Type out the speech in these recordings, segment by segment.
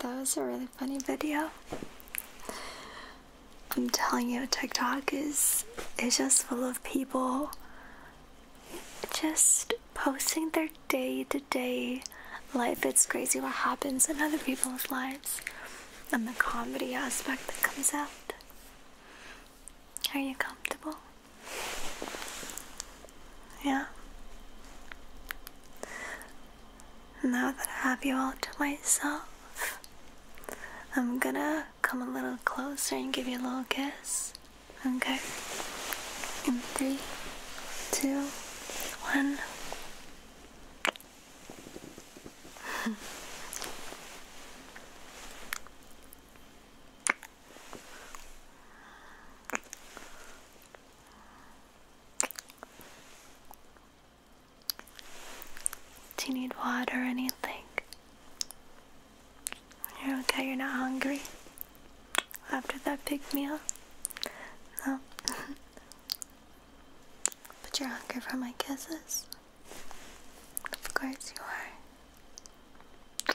That was a really funny video. I'm telling you, TikTok is it's just full of people just posting their day to -day life. It's crazy what happens in other people's lives and the comedy aspect that comes out. Are you comfortable? Yeah. Now that I have you all to myself, I'm gonna come a little closer and give you a little kiss. Okay? In three, two, one. Do you need water or anything? You're okay, you're not hungry after that big meal? No. but you're hungry for my kisses? Of course you are.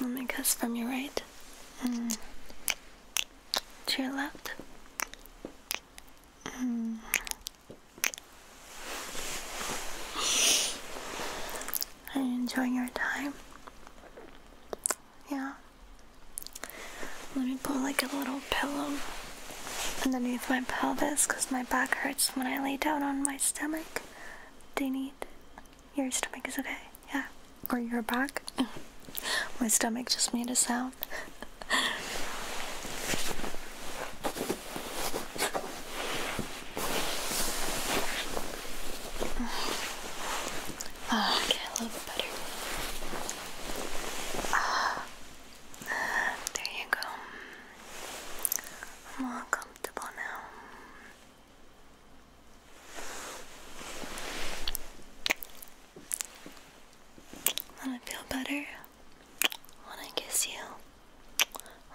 Let me guess from your right to your left. Mm. Are you enjoying your time? Yeah. Let me put like a little pillow underneath my pelvis because my back hurts when I lay down on my stomach. They need your stomach is okay, yeah, or your back. Mm. my stomach just made a sound. oh, okay, a better. Ah, there you go. I'm all comfortable now. want feel better? when I kiss you?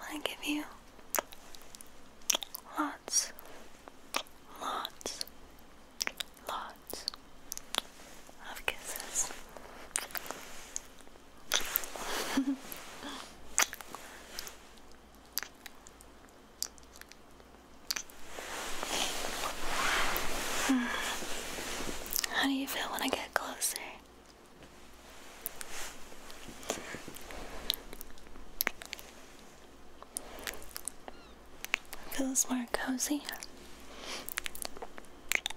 Wanna give you lots, lots, lots of kisses. How do you feel when I get closer? Feels more cozy.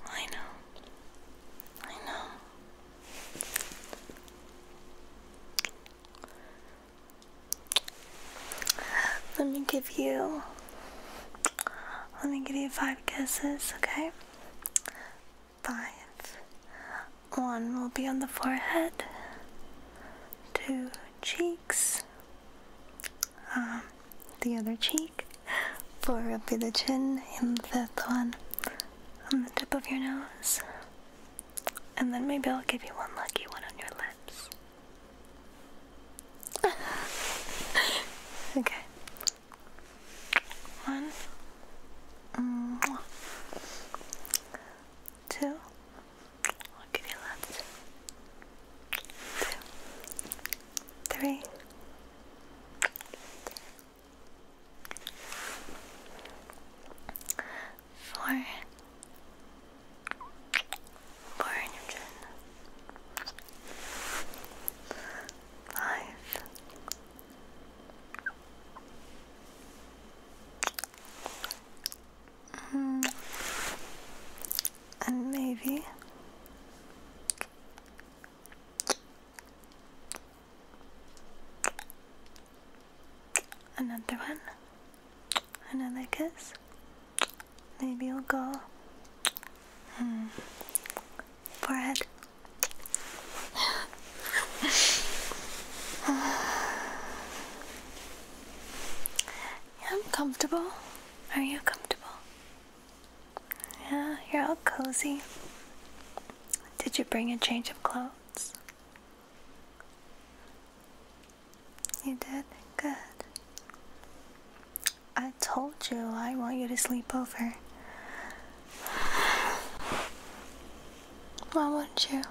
I know. I know. Let me give you. Let me give you five kisses, okay? Five. One will be on the forehead, two cheeks, um, the other cheek. for up to the chin, and the fifth one on the tip of your nose. And then maybe I'll give you one lucky one on your lips. okay. One. Two. I'll give you left. Two three. Four. hundred. Five. Mm. And maybe Another one. Another kiss. Maybe you'll go. Hmm. Forehead. I'm comfortable. Are you comfortable? Yeah, you're all cozy. Did you bring a change of clothes? You did? Good. I told you I want you to sleep over. Why will not you?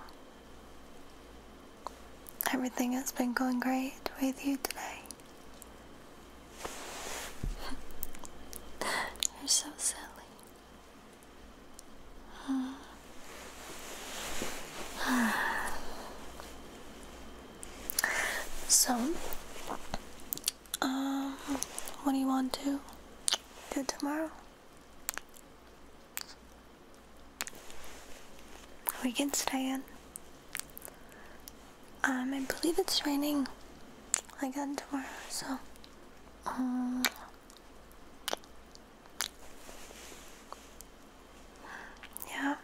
Everything has been going great with you today. You're so silly. So, um, what do you want to do tomorrow? We can stay in. Um, I believe it's raining like that tomorrow, so. Um, yeah,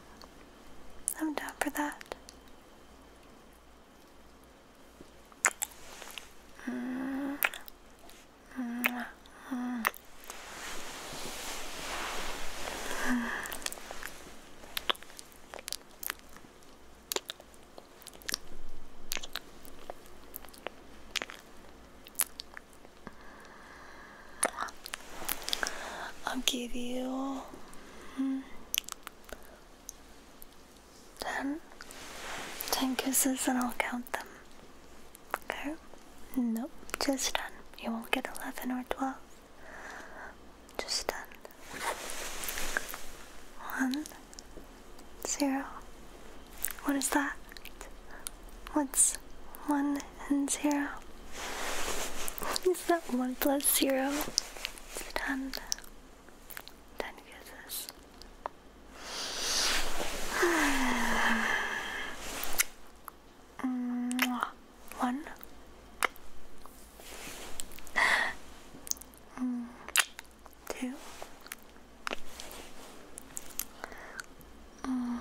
I'm down for that. I'll give you mm, ten, ten kisses, and I'll count them. Okay? Nope, just ten. You won't get eleven or twelve just done. One, zero. What is that? What's one and zero? Is that one plus zero? It's done. Ten kisses. Mm, one. Mm, 2 mm,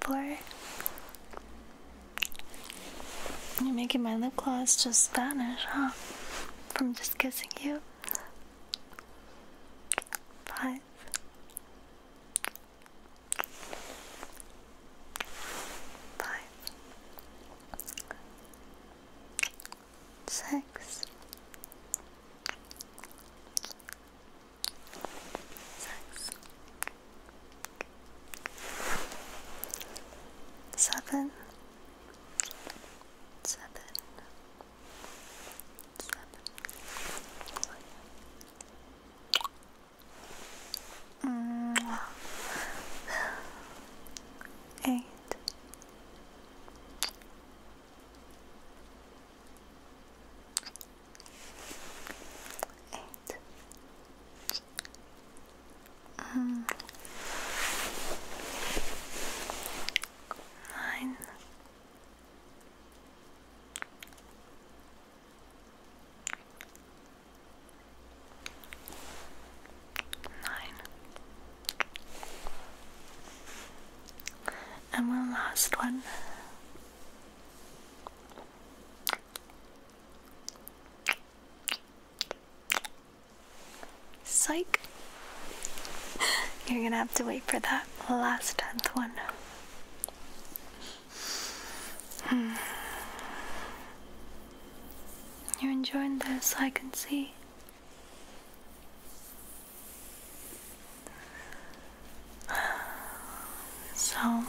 Four. You're making my lip gloss just vanish, huh? From just kissing you five. Five, six, six, seven, seven, seven, eight. Eight, Nine. Nine. And one last one. Psych. You're gonna have to wait for that last tenth one. Hmm. You're enjoying this, I can see. So,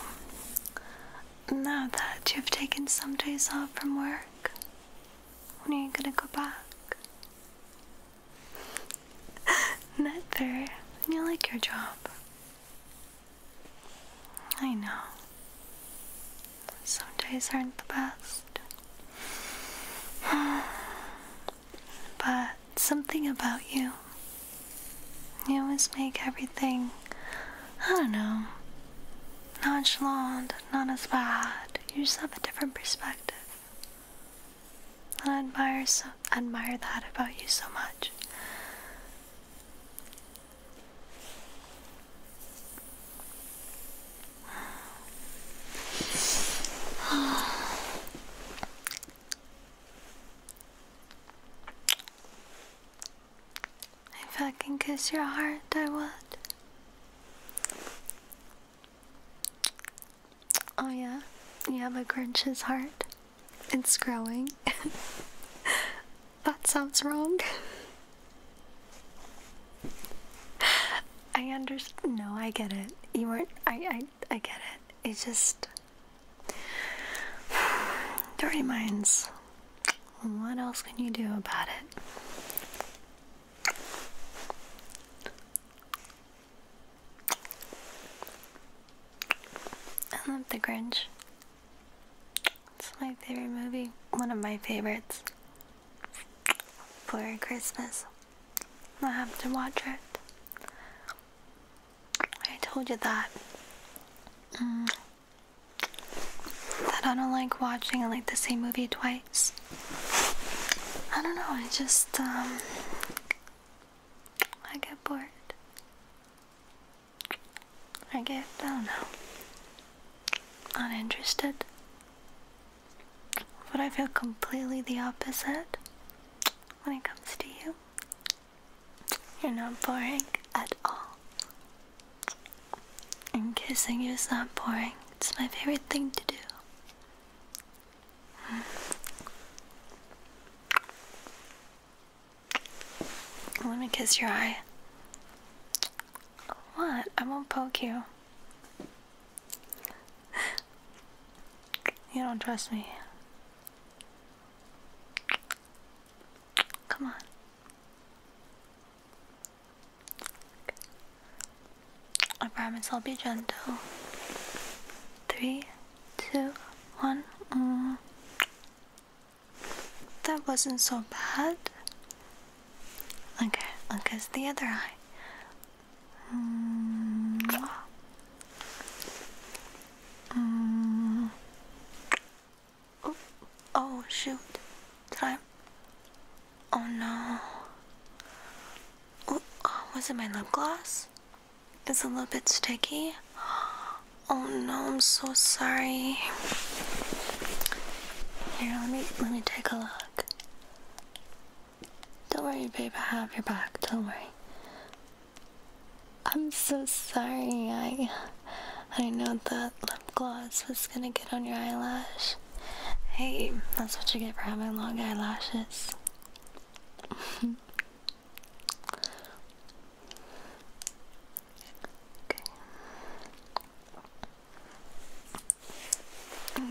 now that you've taken some days off from work, when are you gonna go back? Never. You like your job. I know. Some days aren't the best. but something about you. You always make everything, I don't know, nonchalant, not as bad. You just have a different perspective. And I admire, so, admire that about you so much. If I can kiss your heart, I would. Oh, yeah? You have a Grinch's heart? It's growing. that sounds wrong. I understand. No, I get it. You weren't. I, I, I get it. It just. dirty minds. What else can you do about it? I love The Grinch. It's my favorite movie, one of my favorites. For Christmas, I have to watch it. I told you that. Mm, that I don't like watching I like the same movie twice. I don't know, I just um I get bored. I get I don't know. uninterested. But I feel completely the opposite when it comes to you. You're not boring at all. And kissing you is not boring. It's my favorite thing to do. Hmm. Let me kiss your eye. What? I won't poke you. You don't trust me. Come on. I promise I'll be gentle. Three, two, one. Mm. That wasn't so bad. Okay, look at the other eye. Mm. Mm. Oh, oh shoot. Did I? Oh no. Oh, oh, was it my lip gloss? It's a little bit sticky. Oh no, I'm so sorry. Here, let me let me take a look. Don't worry, babe. I have your back. Don't worry. I'm so sorry. I I know that lip gloss was gonna get on your eyelash. Hey, that's what you get for having long eyelashes. okay.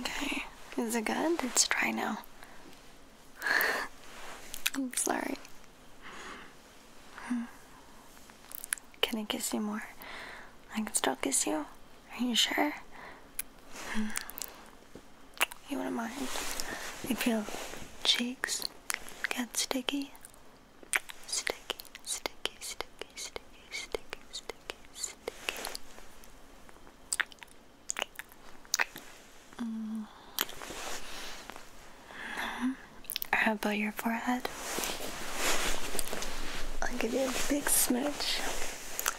Okay. Is it good? It's dry now. I'm sorry. Hmm. Can I kiss you more? I can still kiss you? Are you sure? Hmm. You wouldn't mind if your cheeks get sticky? Sticky, sticky, sticky, sticky, sticky, sticky, sticky. Hmm. No. How about your forehead? I'll give you a big smooch.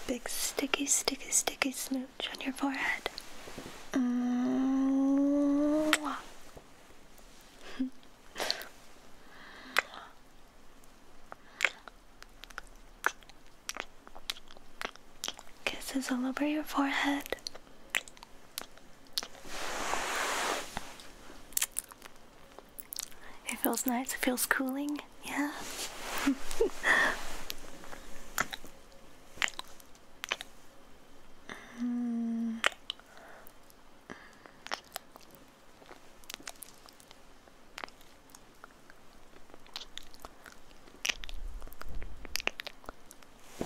Big sticky, sticky, sticky smooch on your forehead. Mwah. Kisses all over your forehead. It feels nice, it feels cooling, yeah. mm. Can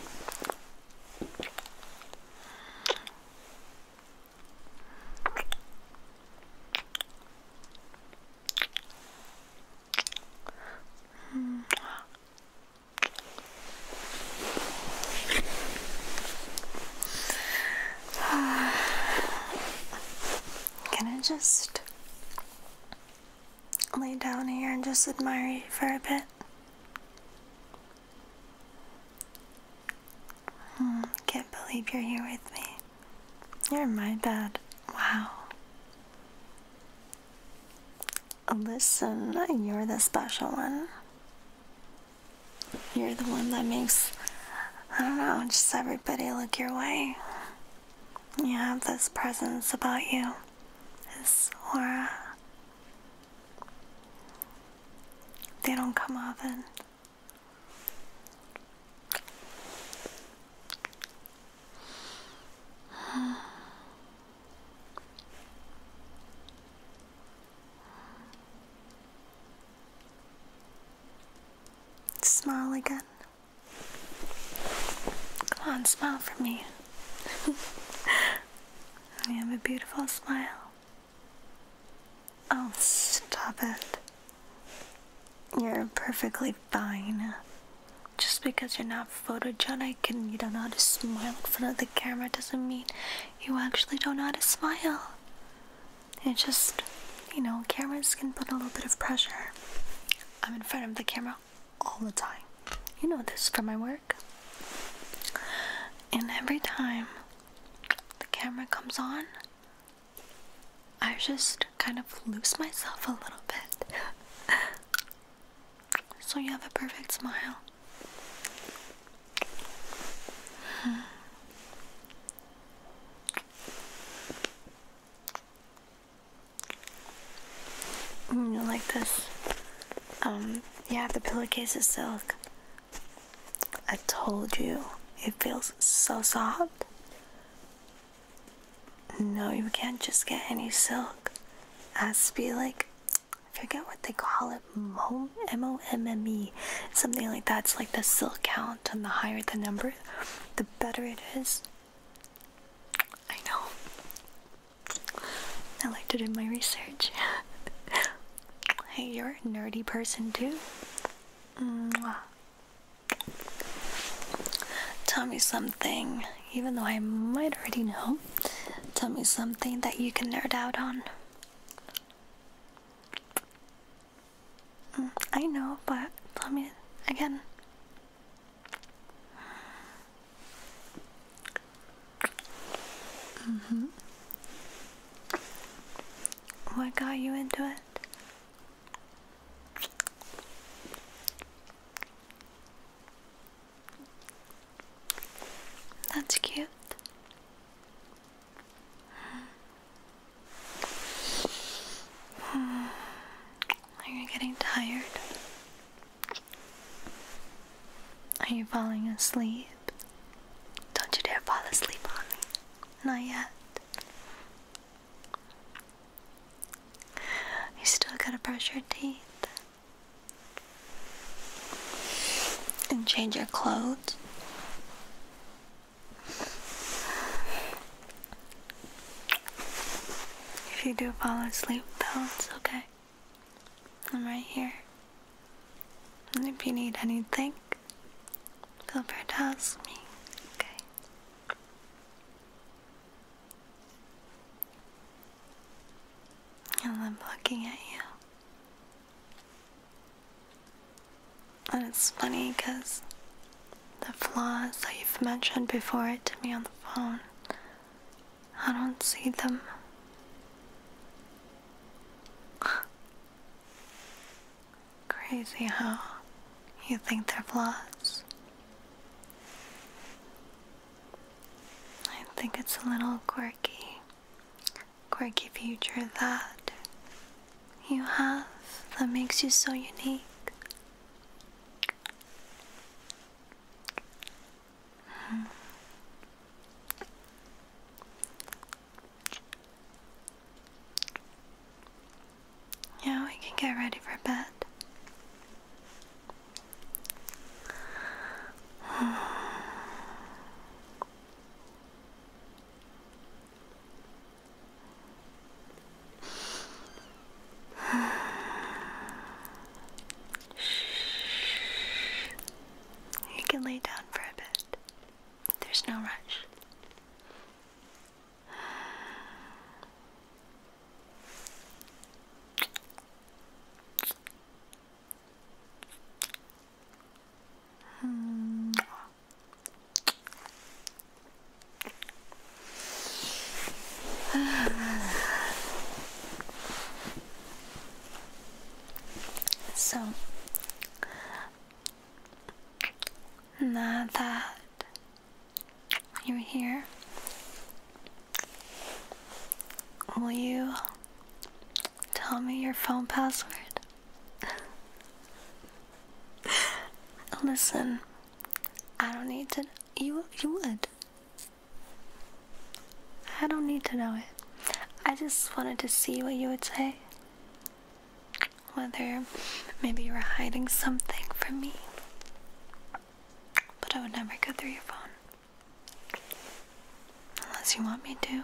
I just lay down here and just admire you for a bit? Hmm, can't believe you're here with me. You're my dad. Wow. Listen, you're the special one. You're the one that makes, I don't know, just everybody look your way. You have this presence about you, this aura. They don't come often. Smile again. Come on, smile for me. I have a beautiful smile. Oh, stop it. You're perfectly fine. Just because you're not photogenic and you don't know how to smile in front of the camera doesn't mean you actually don't know how to smile. It just, you know, cameras can put a little bit of pressure. I'm in front of the camera all the time. You know this from my work. And every time the camera comes on, I just kind of lose myself a little bit. so you have a perfect smile. Mm, you like this? Um, yeah, the pillowcase is silk. I told you, it feels so soft. No, you can't just get any silk. It has to be like, forget what they call it, mom, M-O-M-M-E, something like that. It's like the silk count, and the higher the number, the better it is. I know. I like to do my research. hey, you're a nerdy person too. Tell me something, even though I might already know. Tell me something that you can nerd out on. Mm, I know, but tell me again. Mm-hmm. What got you into it? That's cute. Are you getting tired? Are you falling asleep? Don't you dare fall asleep on me. Not yet. You still gotta brush your teeth and change your clothes. If you do fall asleep though, it's okay. I'm right here. And if you need anything, feel free to ask me, okay? I am looking at you. And it's funny because the flaws that you've mentioned before it to me on the phone I don't see them. Crazy how you think they're flaws. I think it's a little quirky, quirky future that you have that makes you so unique. Yeah, we can get ready for bed. You can lay down for a bit. There's no rush. Hmm. so now that you're here, will you tell me your phone password? Listen, I don't need to you you would. I don't need to know it. I just wanted to see what you would say. Whether maybe you were hiding something from me. But I would never go through your phone. Unless you want me to.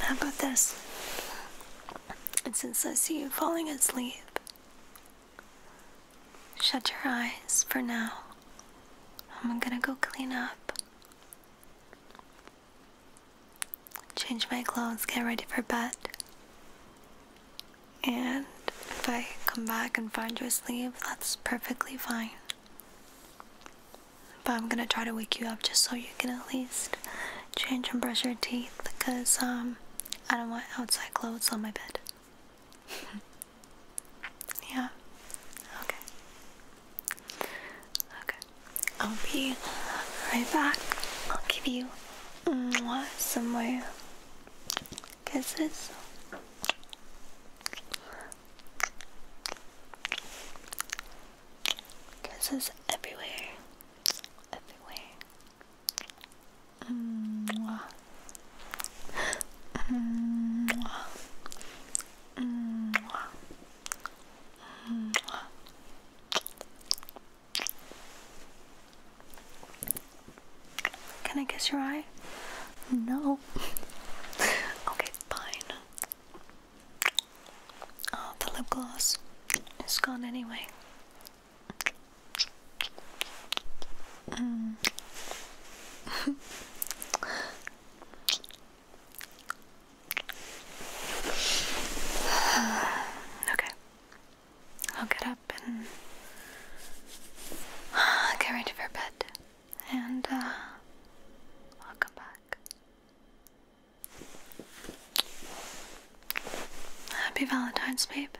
How about this? And since I see you falling asleep, shut your eyes for now. I'm gonna go clean up. Change my clothes, get ready for bed. And if I come back and find you asleep, that's perfectly fine. But I'm gonna try to wake you up just so you can at least change and brush your teeth because um, I don't want outside clothes on my bed. yeah. Okay. Okay. I'll be right back. I'll give you some more kisses. Kisses everywhere. Everywhere. Mwah. Mwah. Mwah. Mwah. Can I kiss your eye? No. okay, fine. Oh, the lip gloss is gone anyway. Mm. okay. I'll get up and get ready for bed, and uh, I'll come back. Happy Valentine's, babe.